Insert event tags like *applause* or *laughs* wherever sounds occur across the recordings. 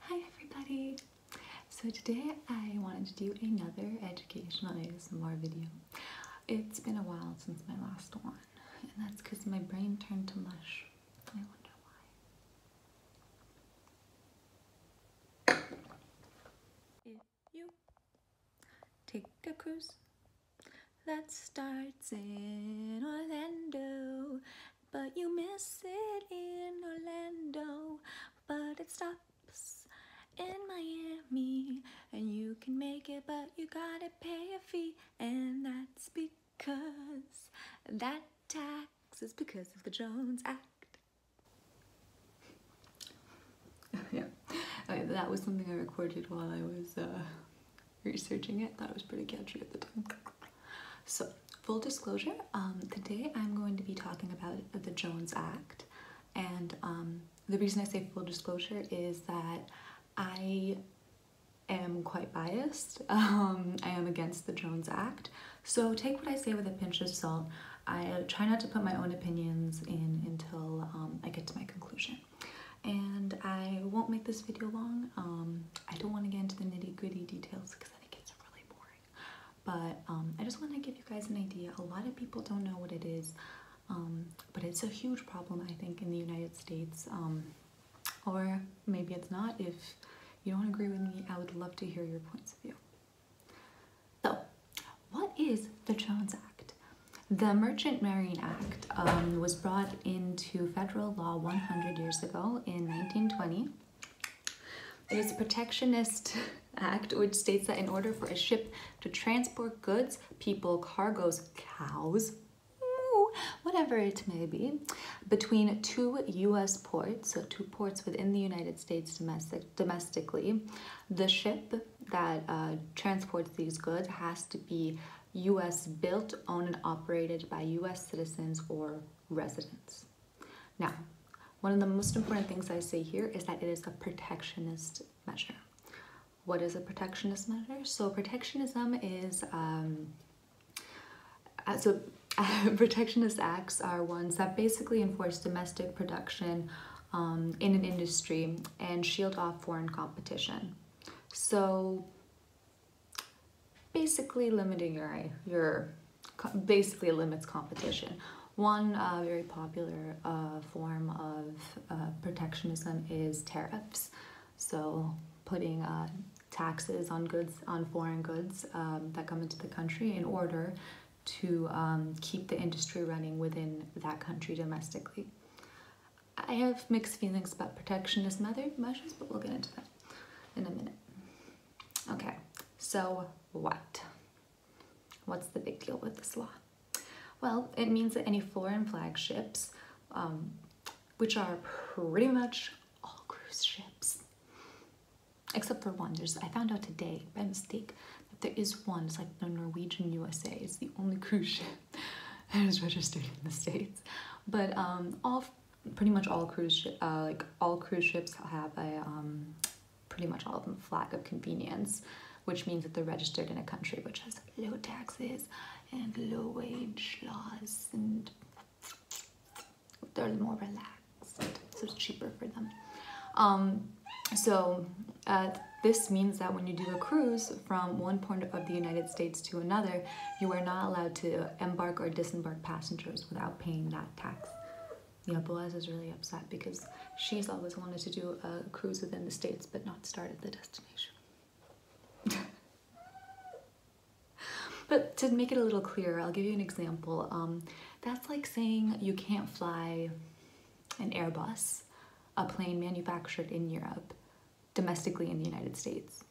Hi everybody! So today I wanted to do another educational ASMR video. It's been a while since my last one and that's because my brain turned to mush. I wonder why. If you take a cruise that starts in Orlando but you miss it in Orlando, but it stops in Miami. And you can make it, but you gotta pay a fee. And that's because that tax is because of the Jones Act. *laughs* yeah, that was something I recorded while I was uh, researching it. Thought it was pretty catchy at the time. So full disclosure, um, today I'm going to be talking about the Jones Act. And um, the reason I say full disclosure is that I am quite biased. *laughs* Um, I am against the Jones Act. So take what I say with a pinch of salt. I try not to put my own opinions in until um, I get to my conclusion. And I won't make this video long. Um, I don't want to get into the nitty gritty details because then it gets really boring. But um, I just want to give you guys an idea. A lot of people don't know what it is, um, but it's a huge problem, I think, in the United States. Um, or maybe it's not. If you don't agree with me, I would love to hear your points of view. So, what is the Jones Act? The Merchant Marine Act was brought into federal law 100 years ago in 1920. It is a protectionist *laughs* act which states that in order for a ship to transport goods, people, cargoes, cows, whatever it may be, between two U.S. ports, so two ports within the United States domestic, domestically, the ship that uh, transports these goods has to be U.S. built, owned, and operated by U.S. citizens or residents. Now, one of the most important things I say here is that it is a protectionist measure. What is a protectionist measure? So protectionism is, um, uh, so *laughs* protectionist acts are ones that basically enforce domestic production um, in an industry and shield off foreign competition. So basically limiting your, your basically limits competition. One uh, very popular uh, form of uh, protectionism is tariffs. So putting taxes on goods, on foreign goods um, that come into the country in order to um, keep the industry running within that country domestically. I have mixed feelings about protectionist measures, but we'll get into that in a minute. Okay, so what? What's the big deal with this law? Well, it means that any foreign flagships, um, which are pretty much all cruise ships, except for one. There's I found out today by mistake that there is one. It's like the Norwegian USA It's the only cruise ship *laughs* that is registered in the states. But um, all pretty much all cruise uh, like all cruise ships have a um, pretty much all of them flag of convenience, which means that they're registered in a country which has low taxes and low wage laws and they're more relaxed, so it's cheaper for them. Um, so uh, this means that when you do a cruise from one point of the United States to another, you are not allowed to embark or disembark passengers without paying that tax. Yeah, Boaz is really upset because she's always wanted to do a cruise within the States but not start at the destination. *laughs* but to make it a little clearer, I'll give you an example. Um, that's like saying you can't fly an Airbus, a plane manufactured in Europe, domestically in the United States.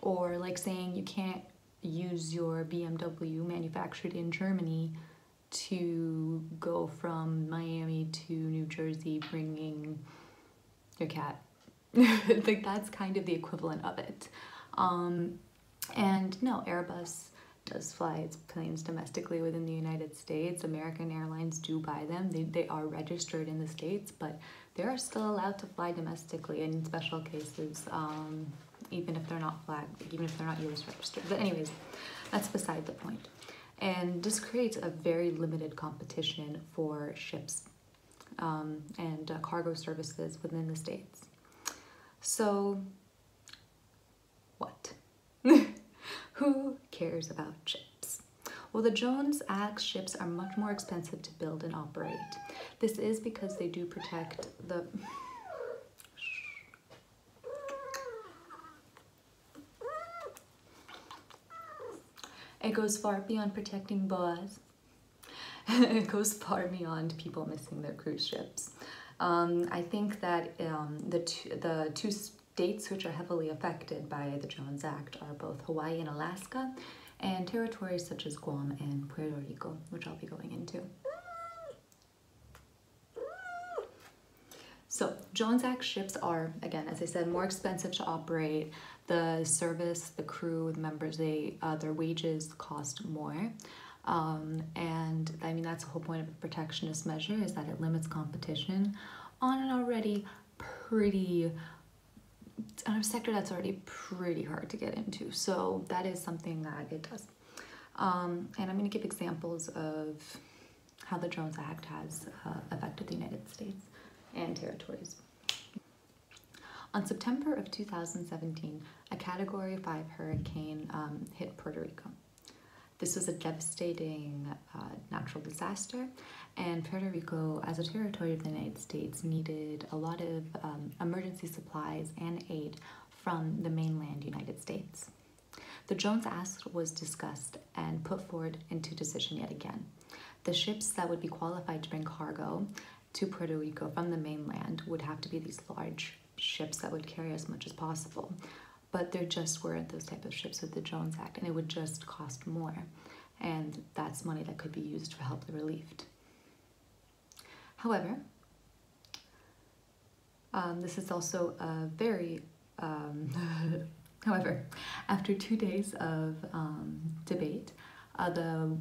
Or like saying you can't use your BMW manufactured in Germany to go from Miami to New Jersey bringing your cat. *laughs* like that's kind of the equivalent of it. Um, and no, Airbus does fly its planes domestically within the United States. American Airlines do buy them. They, they are registered in the States, but they are still allowed to fly domestically in special cases, um, even if they're not flagged, even if they're not US registered. But anyways, that's beside the And this creates a very limited competition for ships um, and uh, cargo services within the states. So, what? *laughs* Who cares about ships? Well, the Jones Act ships are much more expensive to build and operate. This is because they do protect the... It goes far beyond protecting boas. *laughs* it goes far beyond people missing their cruise ships. Um, I think that um, the, two, the two states which are heavily affected by the Jones Act are both Hawaii and Alaska and territories such as Guam and Puerto Rico, which I'll be going into. So Jones ships are, again, as I said, more expensive to operate. The service, the crew, the members, they uh, their wages cost more. Um, and I mean, that's the whole point of a protectionist measure is that it limits competition on an already pretty and a sector that's already pretty hard to get into. So that is something that it does. Um, and I'm going to give examples of how the Drones Act has uh, affected the United States and territories. On September of 2017, a Category 5 hurricane um, hit Puerto Rico. This was a devastating uh, natural disaster, and Puerto Rico, as a territory of the United States, needed a lot of um, emergency supplies and aid from the mainland United States. The Jones Act was discussed and put forward into decision yet again. The ships that would be qualified to bring cargo to Puerto Rico from the mainland would have to be these large ships that would carry as much as possible. But there just weren't those type of ships with the Jones Act, and it would just cost more and that's money that could be used for help the relieved. However, um, this is also a very, um, *laughs* however, after two days of um, debate, uh, the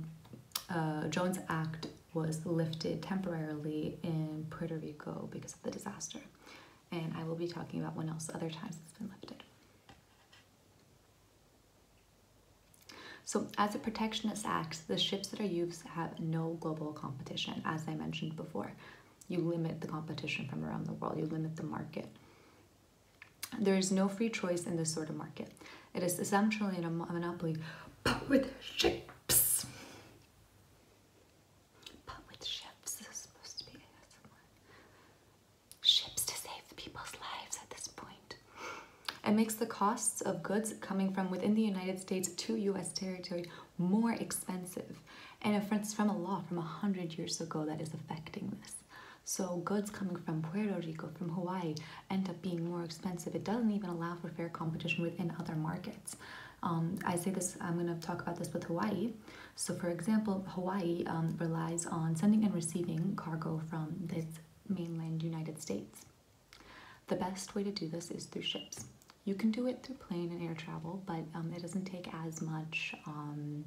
uh, Jones Act was lifted temporarily in Puerto Rico because of the disaster. And I will be talking about when else other times it's been lifted. So as a protectionist act, the ships that are used have no global competition, as I mentioned before. You limit the competition from around the world, you limit the market. There is no free choice in this sort of market. It is essentially a monopoly, but with ships. But with ships, ships to save people's lives at this point. it makes the costs of goods coming from within the United States to U.S. territory more expensive. And it's from a law from 100 years ago that is affecting this. So goods coming from Puerto Rico, from Hawaii, end up being more expensive. It doesn't even allow for fair competition within other markets. Um, I say this, I'm going to talk about this with Hawaii. So for example, Hawaii um, relies on sending and receiving cargo from the mainland United States. The best way to do this is through ships. You can do it through plane and air travel, but um, it doesn't take as much, um,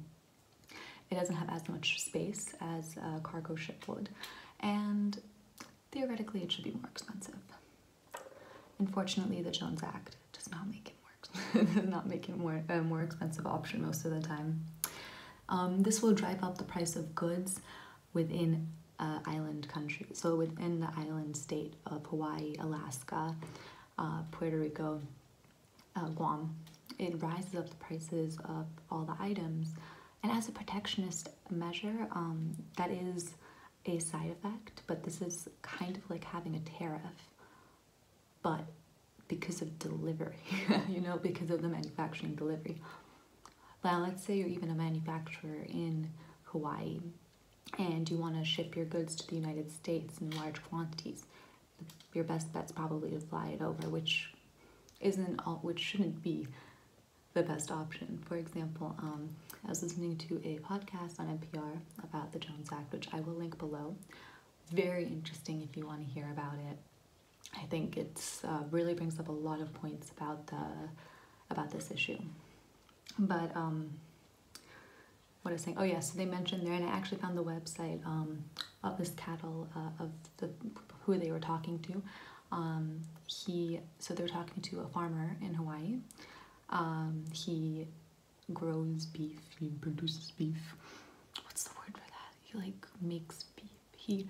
it doesn't have as much space as a cargo ship would. And theoretically, it should be more expensive. Unfortunately, the Jones Act does not make it more, does *laughs* not make it more, a more expensive option most of the time. Um, this will drive up the price of goods within uh, island country. So within the island state of Hawaii, Alaska, uh, Puerto Rico, uh, Guam, it rises up the prices of all the items. And as a protectionist measure, um, that is a side effect, but this is kind of like having a tariff but because of delivery, *laughs* you know, because of the manufacturing delivery. Now, let's say you're even a manufacturer in Hawaii and you want to ship your goods to the United States in large quantities. Your best bet's probably to fly it over, which isn't all, which shouldn't be the best option. For example, um, I was listening to a podcast on NPR about the Jones Act, which I will link below. Very interesting if you want to hear about it. I think it's uh, really brings up a lot of points about about this issue. But um, what I was saying, oh yes, so they mentioned there, and I actually found the website um, of this cattle uh, of the who they were talking to. Um, he so they were talking to a farmer in Hawaii. Um, he grows beef, he produces beef. What's the word for that? He like makes beef. He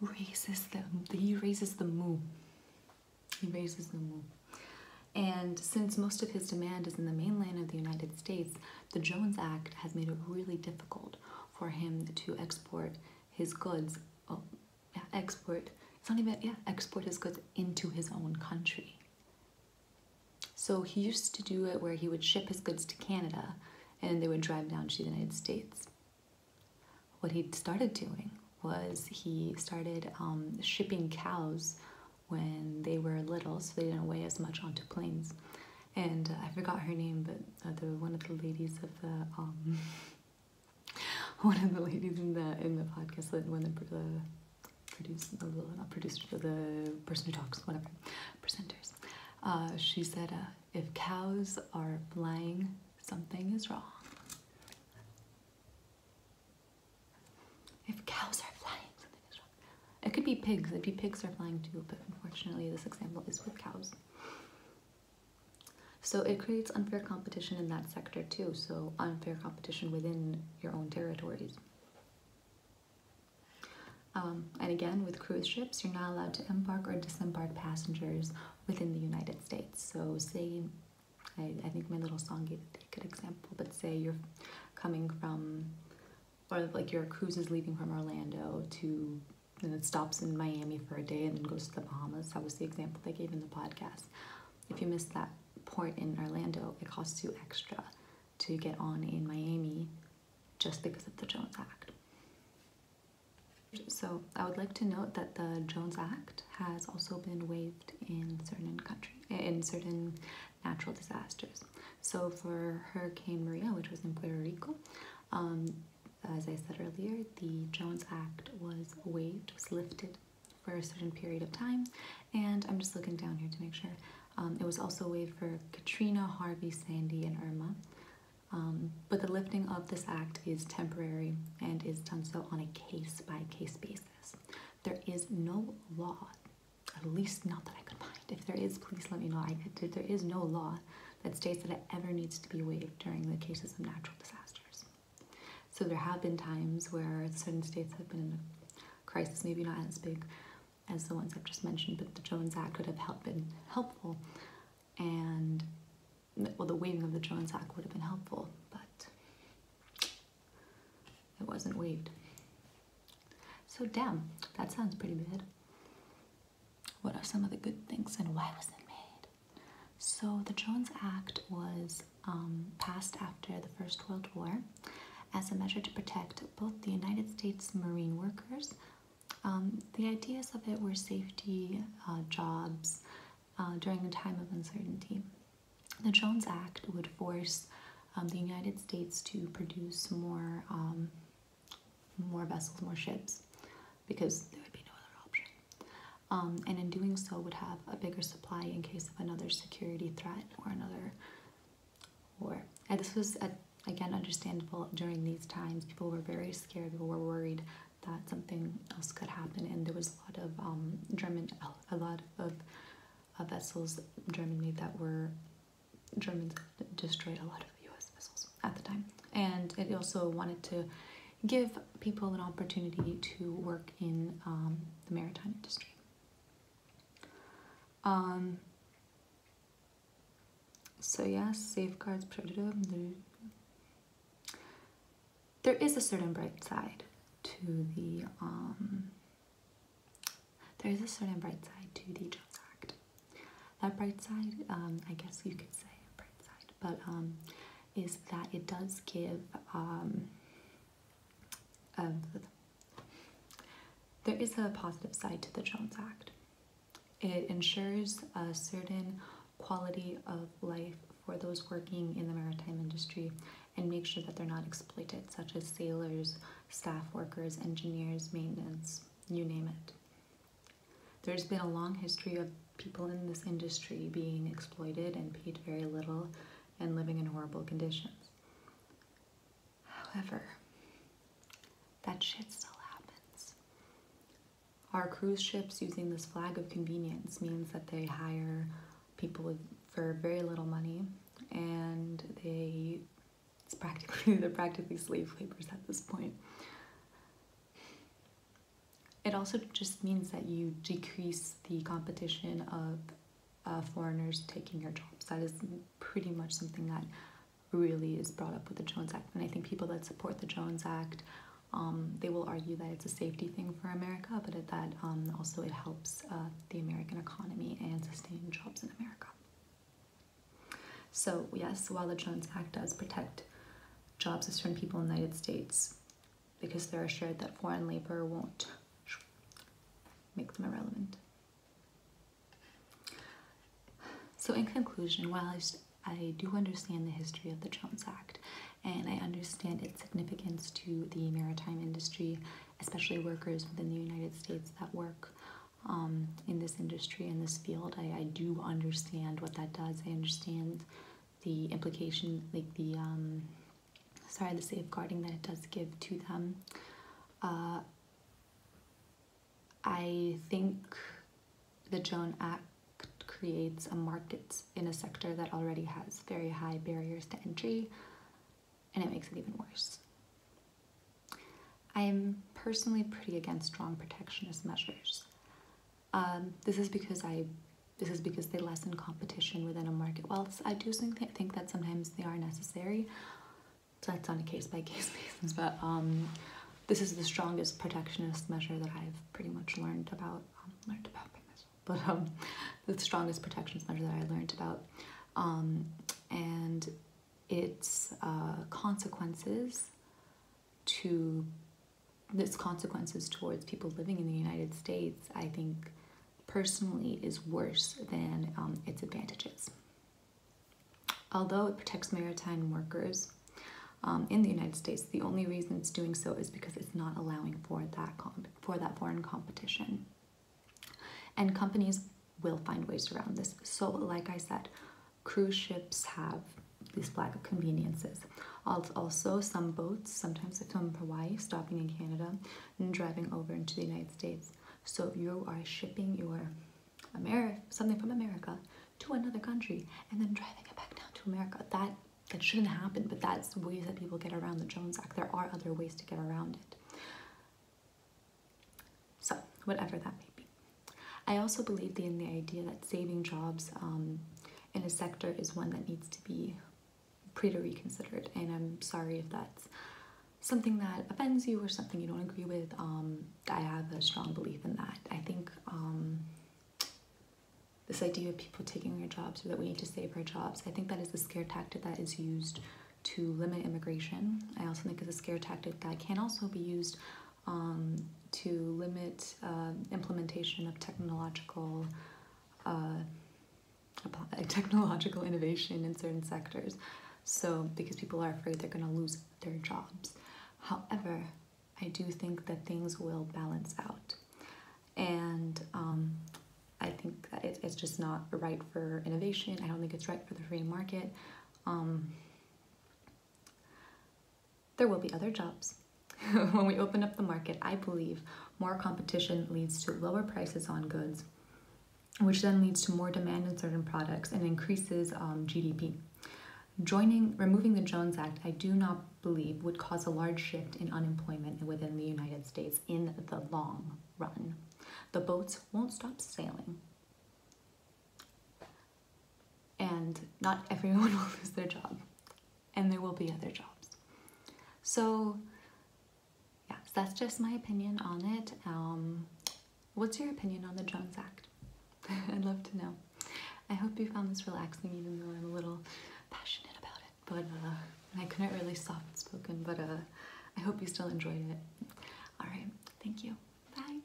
raises them. He raises the moo. He raises the moo. And since most of his demand is in the mainland of the United States, the Jones Act has made it really difficult for him to export his goods. Oh, yeah, export. It's not even yeah, export his goods into his own country. So he used to do it where he would ship his goods to Canada and they would drive down to the United States. What he started doing was he started um, shipping cows when they were little so they didn't weigh as much onto planes. And uh, I forgot her name, but uh, the one of the ladies of the um, *laughs* one of the ladies in the in the podcast, when the, the produce, blah, uh, blah, not the person who talks, whatever, presenters. Uh, she said, uh, if cows are flying, something is wrong. If cows are flying, something is wrong. It could be pigs. It'd be pigs are flying too, but unfortunately this example is with cows. So it creates unfair competition in that sector too. So unfair competition within your own territories. Um, and again, with cruise ships, you're not allowed to embark or disembark passengers within the United States. So say, I, think my little song gave a good example, but say you're coming from, or like your cruise is leaving from Orlando to, and it stops in Miami for a day and then goes to the Bahamas. That was the example they gave in the podcast if you miss that port in Orlando, it costs you extra to get on in Miami just because of the Jones Act. So I would like to note that the Jones Act has also been waived in certain country in certain natural disasters. So for Hurricane Maria, which was in Puerto Rico, um, as I said earlier, the Jones Act was waived, was lifted for a certain period of time. And I'm just looking down here to make sure. Um, it was also waived for Katrina, Harvey, Sandy, and Irma. Um, but the lifting of this act is temporary and is done so on a case by case basis. There is no law, at least not that I could find. If there is, please let me know. I, there is no law that states that it ever needs to be waived during the cases of natural disasters. So there have been times where certain states have been in a crisis, maybe not as big as the ones I've just mentioned, but the Jones Act could have helped, been helpful, and well, the waving of the Jones Act would have been helpful, but it wasn't waved. So damn, that sounds pretty bad. What are some of the good things and why was it made? So the Jones Act was um, passed after the First World War as a measure to protect both the United States Marine workers. Um, the ideas of it were safety, uh, jobs uh, during a time of uncertainty. The Jones Act would force um, the United States to produce more, more vessels, more ships, because there would be no other option. Um, and in doing so would have a bigger supply in case of another security threat or another war. And this was, uh, again, understandable during these times. People were very scared, people were worried that something else could happen and there was a lot of um, German, a lot of vessels German made that were, Germans destroyed a lot of US vessels at the time. And it also wanted to give people an opportunity to work in um, the maritime industry. Um, so yes, safeguards. There is a certain bright side to the. Um, there is a certain bright side to the Jones Act. That bright side, I guess you could say bright side, but is that it does give um, um, there is a positive side to the Jones Act. It ensures a certain quality of life for those working in the maritime industry and make sure that they're not exploited, such as sailors, staff workers, engineers, maintenance, you name it. There's been a long history of people in this industry being exploited and paid very little and living in horrible conditions. However, that shit still happens. Our cruise ships using this flag of convenience means that they hire people for very little money and they it's practically *laughs* they're practically slave laborers at this point. It also just means that you decrease the competition of uh, foreigners taking your jobs. That is pretty much something that really is brought up with the Jones Act. And I think people that support the Jones Act, um, they will argue that it's a safety thing for America, but that um, also it helps uh, the American economy and sustain jobs in America. So yes, while the Jones Act does protect jobs of certain people in the United States, because they're assured that foreign labor won't make them irrelevant. So in conclusion, while I do understand the history of the Jones Act and I understand its significance to the maritime industry, especially workers within the United States that work um, in this industry, in this field. I, I do understand what that does. I understand the implication, like the um, sorry, the safeguarding that it does give to them. Uh, I think the Joan Act creates a market in a sector that already has very high barriers to entry, and it makes it even worse. I am personally pretty against strong protectionist measures. Um, this is because I, this is because they lessen competition within a market. Whilst I do think that sometimes they are necessary, so that's on a case by case basis. But um, this is the strongest protectionist measure that I've pretty much learned about, um, learned about *laughs* but the strongest protectionist measure that I learned about, and its uh, consequences to this consequences towards people living in the United States, I think personally is worse than um, its advantages. Although it protects maritime workers um, in the United States, the only reason it's doing so is because it's not allowing for that for that foreign competition. And companies will find ways around this. So, like I said, cruise ships have these lack of conveniences. Also, some boats, sometimes from Hawaii, stopping in Canada and driving over into the United States. So you are shipping your Ameri something from America to another country and then driving it back down to America. That that shouldn't happen, but that's ways that people get around the Jones Act. There are other ways to get around it. So, whatever that may be. I also believe in the idea that saving jobs um, in a sector is one that needs to be pretty reconsidered. And I'm sorry if that's something that offends you or something you don't agree with. Um, I have a strong belief in that. I think um, this idea of people taking our jobs or that we need to save our jobs, I think that is a scare tactic that is used to limit immigration. I also think it's a scare tactic that can also be used um, to limit uh, implementation of technological uh, *laughs* technological innovation in certain sectors. So because people are afraid they're going to lose their jobs. However, I do think that things will balance out. And um, I think that it's just not right for innovation. I don't think it's right for the free market. Um, there will be other jobs. *laughs* when we open up the market, I believe more competition leads to lower prices on goods, which then leads to more demand in certain products and increases um, GDP. Joining, removing the Jones Act, I do not believe would cause a large shift in unemployment within the United States in the long run. The boats won't stop sailing and not everyone *laughs* will lose their job and there will be other jobs so yes that's just my opinion on it um, what's your opinion on the jones act *laughs* i'd love to know i hope you found this relaxing even though i'm a little passionate about it but uh, i couldn't really soft spoken but uh, i hope you still enjoyed it all right thank you bye